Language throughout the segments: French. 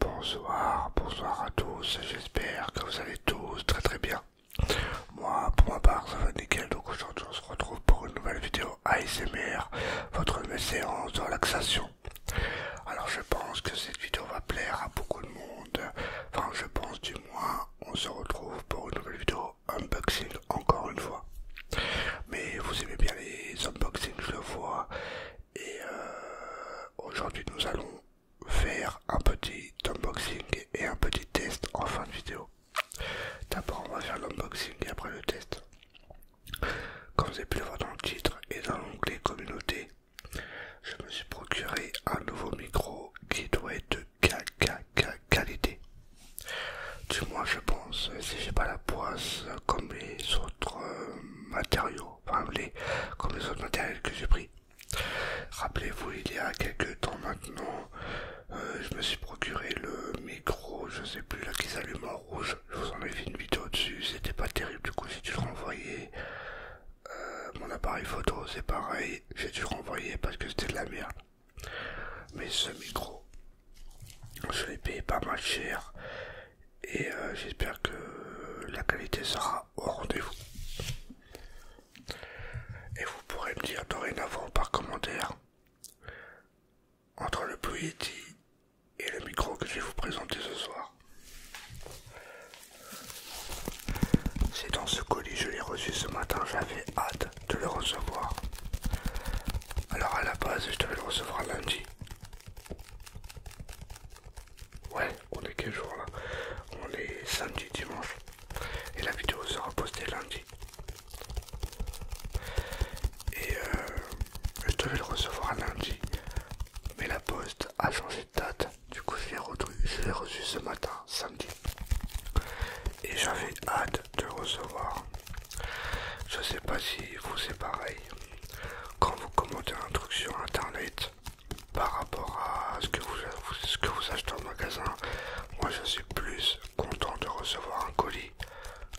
Bonsoir, bonsoir à tous, j'espère que vous allez tous très très bien. Moi, pour ma part, ça va nickel, donc aujourd'hui on se retrouve pour une nouvelle vidéo ASMR, votre séance de relaxation. Alors je pense que cette vidéo va plaire à beaucoup de monde, enfin je pense du moins, on se retrouve pour une nouvelle vidéo unboxing encore une fois. Mais vous aimez bien les unboxings, je le vois, et euh, aujourd'hui nous allons faire un petit unboxing et un petit test en fin de vidéo. D'abord on va faire l'unboxing et après le test. Comme vous avez pu le voir dans le titre et dans l'onglet communauté, je me suis procuré un nouveau micro qui doit être de qualité. Du moins je pense, si j'ai pas la poisse comme les autres euh, matériaux, comme les autres matériaux que j'ai pris. Rappelez-vous, il y a quelques temps maintenant, euh, je me suis procuré le micro, je sais plus là qui s'allume en rouge. Je vous en ai fait une vidéo dessus, c'était pas terrible du coup j'ai dû le renvoyer. Euh, mon appareil photo c'est pareil, j'ai dû le renvoyer parce que c'était de la merde. Mais ce micro, je l'ai payé pas mal cher et euh, j'espère que la qualité sera au rendez-vous. Et vous pourrez me dire dorénavant par commentaire entre le Blue et le micro que je vais vous présenter ce soir. C'est dans ce colis, je l'ai reçu ce matin, j'avais hâte de le recevoir. Alors à la base, je devais le recevoir lundi. Ouais, on est quel jour là On est samedi, dimanche. Et la vidéo sera postée lundi. Et euh, je devais le recevoir lundi, mais la poste a changé de date. Du coup, je l'ai reçu, ce matin, samedi. Et j'avais hâte de le recevoir. Je sais pas si vous c'est pareil. Quand vous commentez un truc sur internet par rapport à ce que vous, ce que vous achetez en magasin, moi je suis plus content de recevoir un colis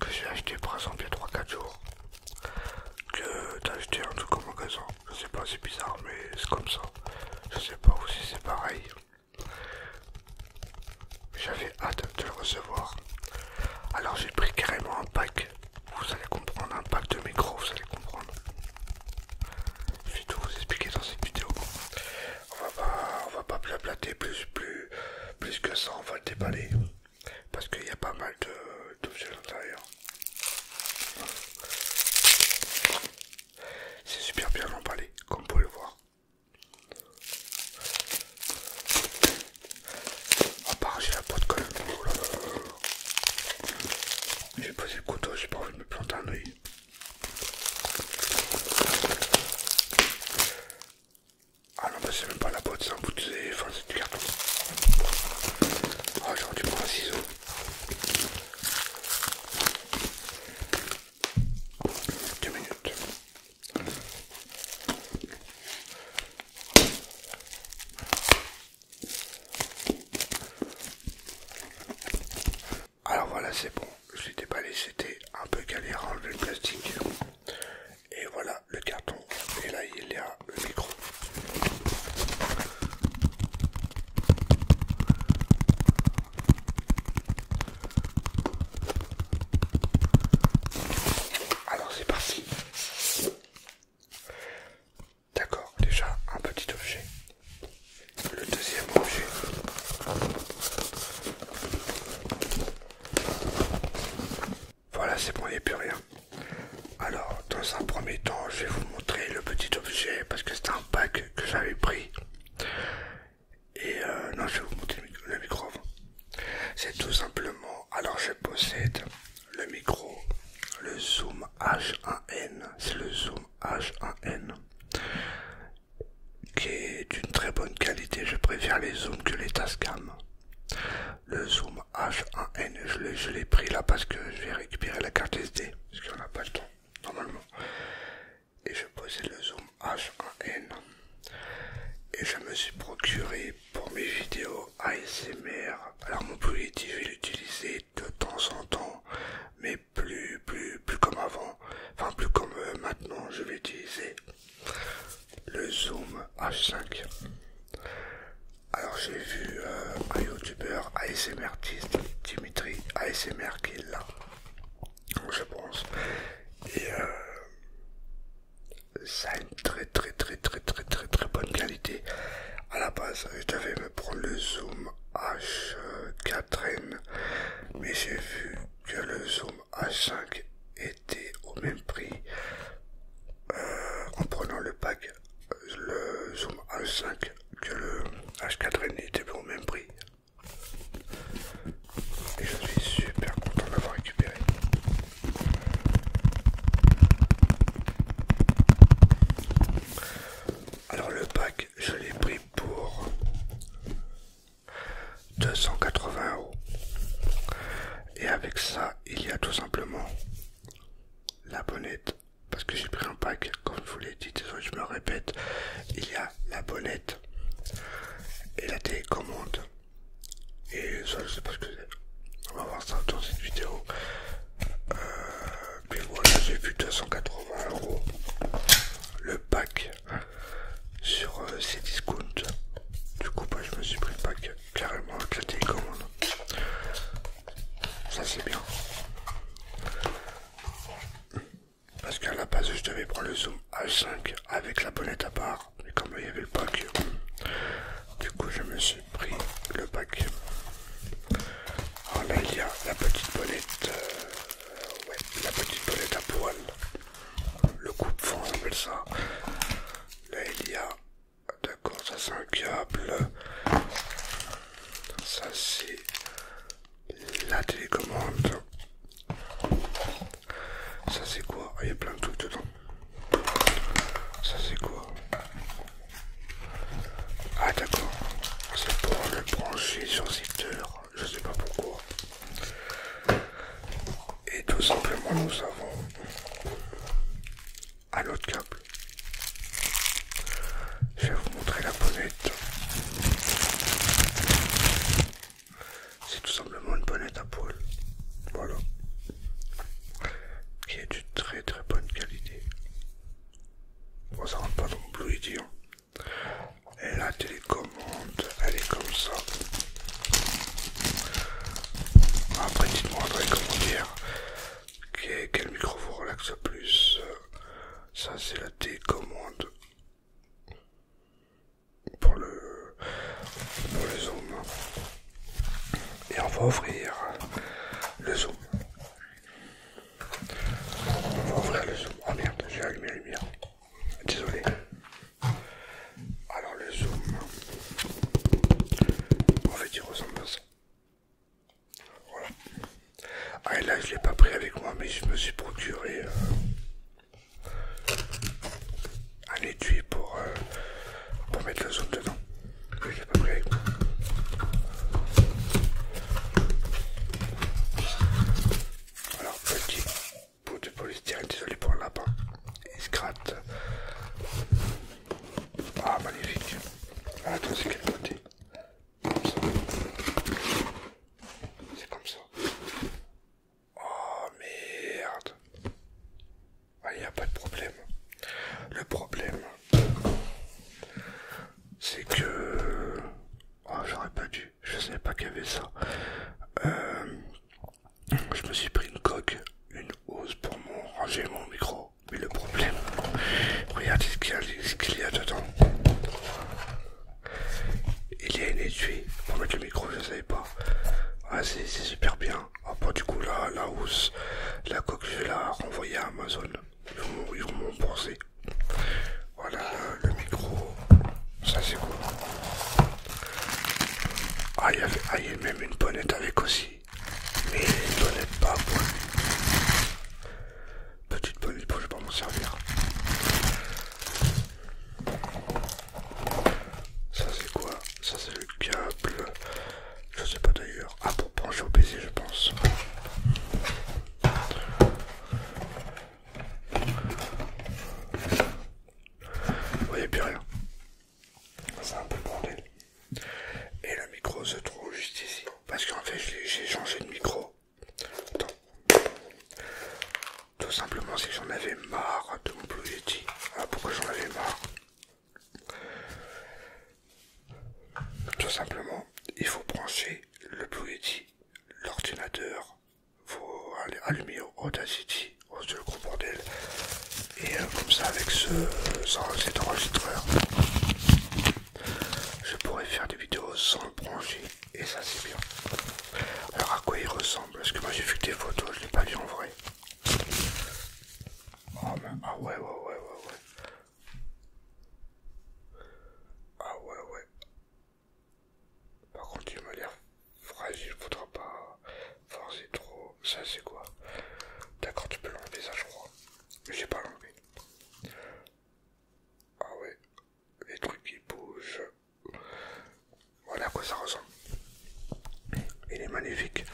que j'ai acheté par exemple il y a 3-4 jours. Que d'acheter acheté un truc au magasin, je sais pas, c'est bizarre, mais c'est comme ça. Je sais pas si c'est pareil. J'avais hâte de le recevoir. Alors j'ai pris carrément un pack. Vous allez comprendre, un pack de micro, vous allez comprendre. Je vais tout vous expliquer dans cette vidéo on va pas, plus, plus, plus que ça, on va le déballer parce qu'il y a pas mal d'objets à l'intérieur. C'est super bien emballé, comme vous pouvez le voir. À part j'ai la peau de colle. J'ai posé le couteau, j'ai pas envie de me planter un oeil. Ah non, mais c'est même pas la boîte, ça, un bout de. Enfin, c'est du carton. Oh ah, j'ai dû prendre un ciseau. Deux minutes. Alors voilà, c'est bon. Je l'ai déballé, c'était un peu galère à enlever le plastique. Et voilà le carton. Et là, il y a le micro. Alors c'est parti. D'accord, déjà un petit objet. Le deuxième objet. Voilà, c'est bon, il n'y a plus rien. Alors, dans un premier temps, je vais vous montrer le petit objet parce que c'est un pack que j'avais pris. Et euh, non, je vais vous montrer le micro C'est tout simplement, alors je possède le micro, le Zoom H1N, c'est le Zoom H1N qui est d'une très bonne qualité. Je préfère les zooms que les Tascam. Le zoom H1N, je l'ai pris là parce que je vais récupérer la carte SD, parce qu'on n'a pas le temps, normalement. Et je possède le zoom H1N. Et je me suis procuré pour mes vidéos ASMR. Alors mon est je vais l'utiliser de temps en temps, mais plus, plus, plus comme avant, enfin plus comme euh, maintenant, je vais utiliser le zoom H5. Alors j'ai vu euh, un youtubeur ASMR Dimitri ASMR qui est là, je pense, et euh, ça a une très très très très très très très bonne qualité. À la base, je devais me prendre le zoom H4N, mais j'ai vu que le Zoom H5 était au même prix euh, en prenant le pack euh, le Zoom H5 que le H4N était au même prix et je suis super content de l'avoir récupéré alors le pack je l'ai pris pour 280 euros. Et avec ça, il y a tout simplement la bonnette. Parce que j'ai pris un pack, comme je vous l'ai dit, désolé, je me répète. Il y a la bonnette et la télécommande. Et ça, je sais pas ce que c'est. On va voir ça dans cette vidéo. Euh, puis voilà, j'ai vu 280 euros. Le pack sur euh, ces discounts. Du coup, bah, je me suis pris le pack carrément avec la télécommande. Ça, c'est bien. Parce qu'à la base, je devais prendre le Zoom H5 avec la bonnette à part. mais comme il y avait le pack, du coup, je me suis pris le pack. Alors ah, là, il y a la petite bonnette. Euh, la petite palette à poil, le coupe fond on appelle ça. Là, il y a, d'accord, ça c'est un câble. Ça c'est la télécommande. Ça c'est quoi ah, Il y a plein de trucs dedans. Ça c'est quoi Ah d'accord. C'est pour le brancher sur secteur je sais pas pourquoi. Et tout simplement nous avons un autre câble. Je vais vous montrer la bonnette. C'est tout simplement une bonnette à poil. Voilà. Qui est d'une très très bonne qualité. Bon, ça rentre pas dans le blue idiot. Et La télécommande, elle est comme ça. Après, dites-moi, comment dire quel micro vous relaxe plus. Ça, c'est la télécommande pour le pour le zoom. Et on va ouvrir le zoom. On va ouvrir le zoom. Oh merde, j'ai allumé la lumière. Désolé. Alors le zoom. En fait il ressemble à ça. Voilà. Ah et là je ne l'ai pas pris avec moi mais je me suis procuré euh, un étui pour, euh, pour mettre le zoom dedans. Je l'ai pas pris avec moi. Alors, petit bout de polystyrène, désolé pour le lapin, il se gratte. Ah, magnifique. Ah, attends, c'est quel côté Comme ça. C'est comme ça. Oh merde. Ah, il n'y a pas de problème. Le problème, c'est que Oh, j'aurais pas dû, je savais pas qu'il y avait ça. Euh, je me suis pris une coque, une housse pour mon, ranger mon micro. Mais le problème, regardez ce qu'il y, a dedans. Il y a une étui pour mettre le micro, je savais pas. Ah, c'est super bien. Ah, bah, du coup, là, la housse, la coque, je vais la renvoyer à Amazon ils vont mon Voilà le, micro, ça c'est quoi Ah, il y a ah, même une bonnette avec aussi, mais bonnette pas pour Petite bonnette pour je vais pas m'en servir. Ça c'est quoi Ça c'est le câble. Je sais pas d'ailleurs. Ah pour brancher au PC je pense. Vous voyez plus rien. C'est un peu bordel. Et le micro se trouve juste ici. Parce qu'en fait, j'ai changé de micro. Tout simplement, si j'en avais marre de mon Blue Yeti. Ah, pourquoi j'en avais marre tout simplement, il faut brancher le Blue l'ordinateur, faut allumer Audacity, au c'est le gros bordel, et euh, comme ça avec ce, cet enregistreur, je pourrais faire des vidéos sans le brancher, et ça c'est bien. Alors à quoi il ressemble Parce que moi j'ai vu des photos, je l'ai pas vu en vrai. Oh, ah ouais, ouais, ouais, ouais. Ah ouais, ouais. Par contre, il m'a l'air fragile, faudra pas forcer trop. Ça, c'est quoi D'accord, tu peux l'enlever, ça, je crois. Mais j'ai pas l'enlevé. Ah ouais, les trucs qui bougent. Voilà à quoi ça ressemble. Il est magnifique.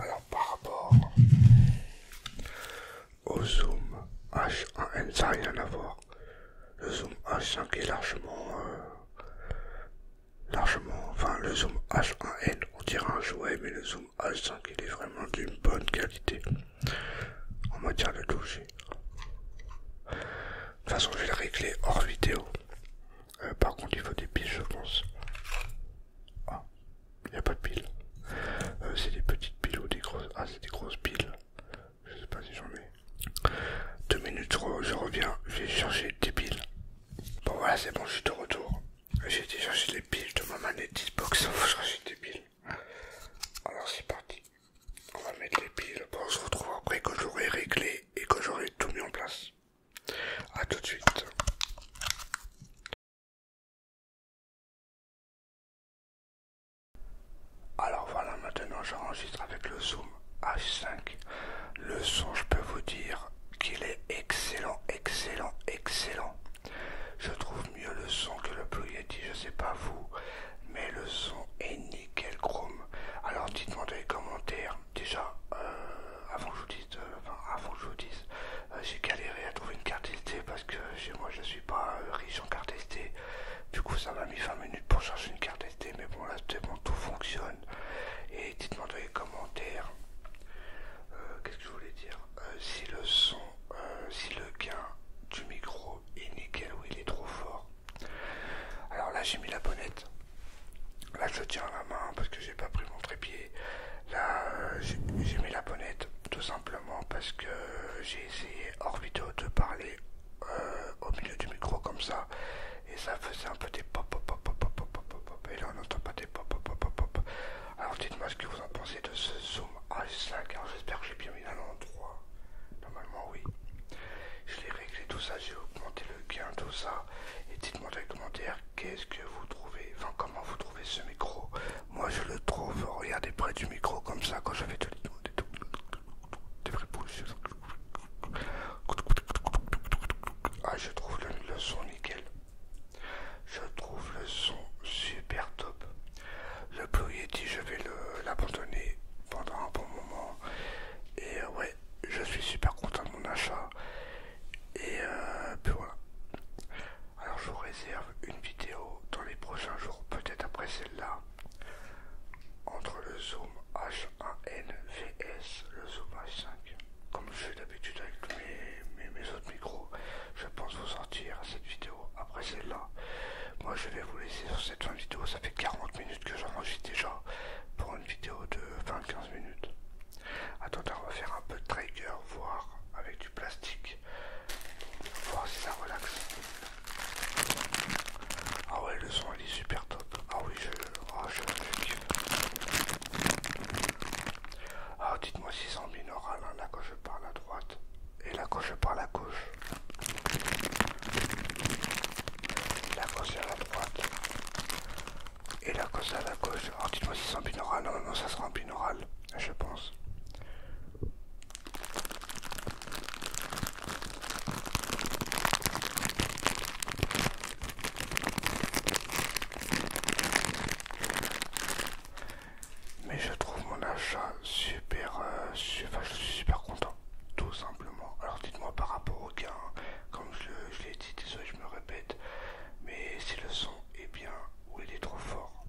Alors, par rapport au Zoom H1N, ça n'a rien à voir. Le Zoom H5 est largement. Euh, largement. Enfin, le Zoom H1N, on dirait un jouet, mais le Zoom H5, il est vraiment d'une bonne qualité en matière de toucher. De toute façon, je vais le régler hors vidéo. Euh, par contre, il faut des pistes, je pense. Ah. Il n'y a pas de piles, euh, c'est des petites piles ou des grosses. Ah, c'est des grosses piles. Je sais pas si j'en ai. Deux minutes, je reviens. Je vais chercher des piles. Bon, voilà, c'est bon, je suis de retour. J'ai été chercher les piles de ma manette Xbox. Faut chercher des piles. Alors, c'est parti. On va mettre les piles. Bon, on se retrouve après que j'aurai réglé et que j'aurai tout mis en place. à tout de suite. Alors voilà, maintenant j'enregistre avec le Zoom H5. Le son, je peux vous dire qu'il est excellent, excellent, excellent. Je trouve mieux le son que le Blue Yeti, je sais pas vous, mais le son est nickel chrome. Alors dites-moi dans les commentaires, déjà, euh, avant que je vous dise, euh, avant que je vous dise, euh, j'ai galéré à trouver une carte SD parce que chez moi je suis pas euh, riche en carte SD. Du coup ça m'a mis 20 minutes pour chercher une carte SD, mais bon là tout fonctionne. Et dites-moi dans les commentaires, euh, qu'est-ce que je voulais dire, si le son, si le gain du micro est nickel ou il est trop fort. Alors là j'ai mis la bonnette, là je tiens la main parce que j'ai pas pris mon trépied là j'ai mis la bonnette tout simplement parce que j'ai essayé hors vidéo de parler euh, au milieu du micro comme ça et ça faisait un peu des pop pop pop pop pop pop pop et là on n'entend pas des pop pop pop pop pop alors dites-moi ce que vous en pensez de ce zoom h 5 j'espère que j'ai bien mis à l'endroit normalement oui je l'ai réglé tout ça j'ai augmenté le gain tout ça et dites-moi dans les commentaires qu'est-ce que vous trouvez enfin comment vous trouvez ce micro moi je le trouve, regardez près du micro comme ça quand je fais des, des Ah je trouve le, le son nickel. Je trouve le son super top. Le Blue Yeti je vais l'abandonner pendant un bon moment. Et ouais, je suis super content de mon achat. Et euh, puis voilà. Alors je vous réserve une vidéo dans les prochains jours, peut-être après celle-là, entre le zoom h 1 nvs le zoom H5. Comme je fais d'habitude avec mes, mes, mes autres micros, je pense vous sortir cette vidéo après celle-là. Moi je vais vous laisser sur cette fin de vidéo, ça fait 40 minutes que j'enregistre déjà pour une vidéo de 20-15 minutes. Attends va refaire un peu de trigger, voir avec du plastique, voir si ça relaxe. Ah ouais, le son il est super top. Ah oui, je, ah je, Ah, dites-moi si c'est en minoral la hein, là quand je parle à droite et la gauche je parle à gauche. La gauche à la droite, et la cause à la gauche, alors dites-moi si c'est en Non, non, ça sera un binaural, je pense. Mais je trouve mon achat super, euh, je suis super content, tout simplement. Alors dites-moi par rapport au gain, comme je, l'ai dit, désolé je me répète, mais c'est le son et eh bien où il est trop fort.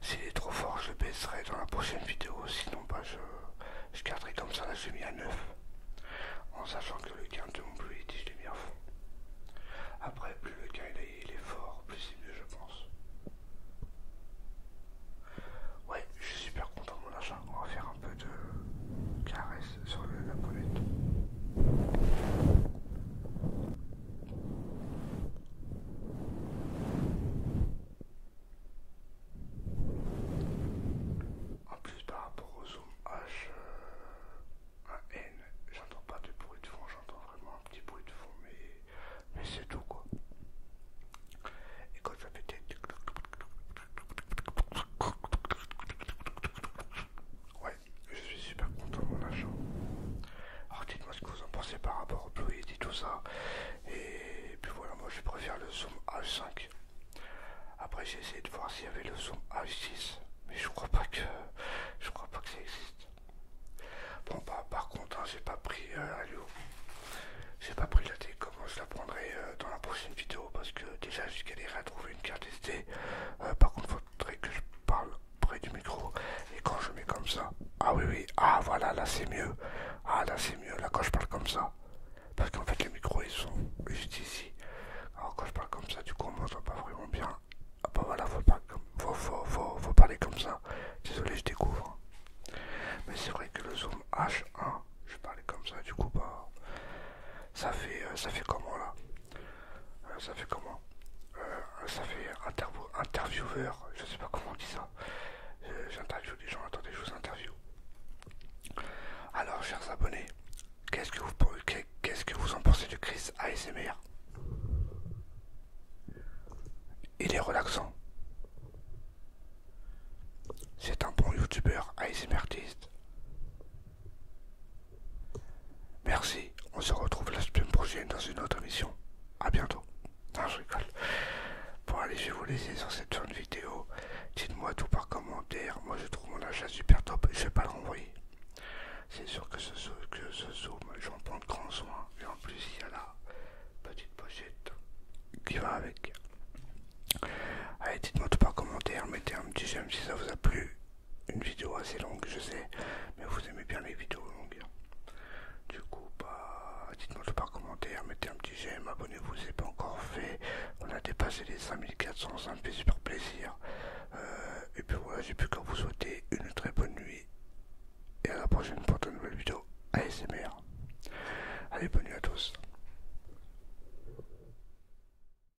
S'il est trop fort, je baisserai dans la prochaine vidéo, sinon pas bah, je, je garderai comme ça, là l'ai mis à 9. En sachant que le gain de mon plus je l'ai mis à fond. Après, plus le gain est fort, plus c'est mieux je pense. Ouais, je suis super content de mon achat, on va faire un peu de caresse sur le, la poulette. En plus, par rapport au zoom H1N, j'entends pas de bruit de fond, j'entends vraiment un petit bruit de fond, mais, c'est tout quoi. Et quand ça des... Ouais, je suis super content de mon achat. Alors dites-moi ce que vous en pensez par rapport au Blu-ray, et tout ça. Et puis voilà, moi je préfère le Zoom H5. Après j'ai essayé de voir s'il y avait le Zoom H6, mais je crois pas que je crois pas que ça existe. Bon bah par contre hein, j'ai pas pris euh, J'ai pas pris la comment, hein, je la prendrai euh, dans la prochaine vidéo parce que déjà j'ai galéré à trouver une carte SD. Euh, par contre que je parle près du micro. Et quand je mets comme ça, ah oui, oui, ah voilà, là c'est mieux. Ah là c'est mieux, là quand je parle comme ça. Parce qu'en fait, les micros ils sont juste ici. Alors quand je parle comme ça, du coup, on m'entend pas vraiment bien. Ah bah voilà, faut, pas, faut, faut, parler comme ça. Désolé, je découvre. Mais c'est vrai que le zoom H1, je parlais comme ça, du coup, bah, ça fait, euh, ça fait comment là euh, ça fait comment euh, Ça fait interview, intervieweur, je sais pas comment on dit ça. J'interviewe des gens, attendez, je vous interview. Alors, chers abonnés, qu'est-ce que vous que vous en pensez du Chris ASMR Il est relaxant. C'est un bon youtubeur ASMR Merci, on se retrouve la semaine prochaine dans une autre émission. A bientôt. Non, je rigole. Bon, allez, je vais vous laisser sur cette fin de vidéo. Dites-moi tout par commentaire. Moi, je trouve mon achat super top. Je vais pas le renvoyer. C'est sûr que ce, que ce zoom, j'en prends grand soin. Et en plus, il y a la petite pochette qui va avec. Allez, dites-moi tout par commentaire. Mettez un petit j'aime si ça vous a plu une vidéo assez longue, je sais, mais vous aimez bien les vidéos longues. Du coup, bah, dites-moi tout par commentaire, mettez un petit j'aime, abonnez-vous si c'est pas encore fait. On a dépassé les 5400, ça me fait super plaisir. Euh, et puis voilà, j'ai plus qu'à vous souhaiter une très bonne nuit et à la prochaine pour de nouvelles vidéos ASMR. Allez, bonne nuit à tous.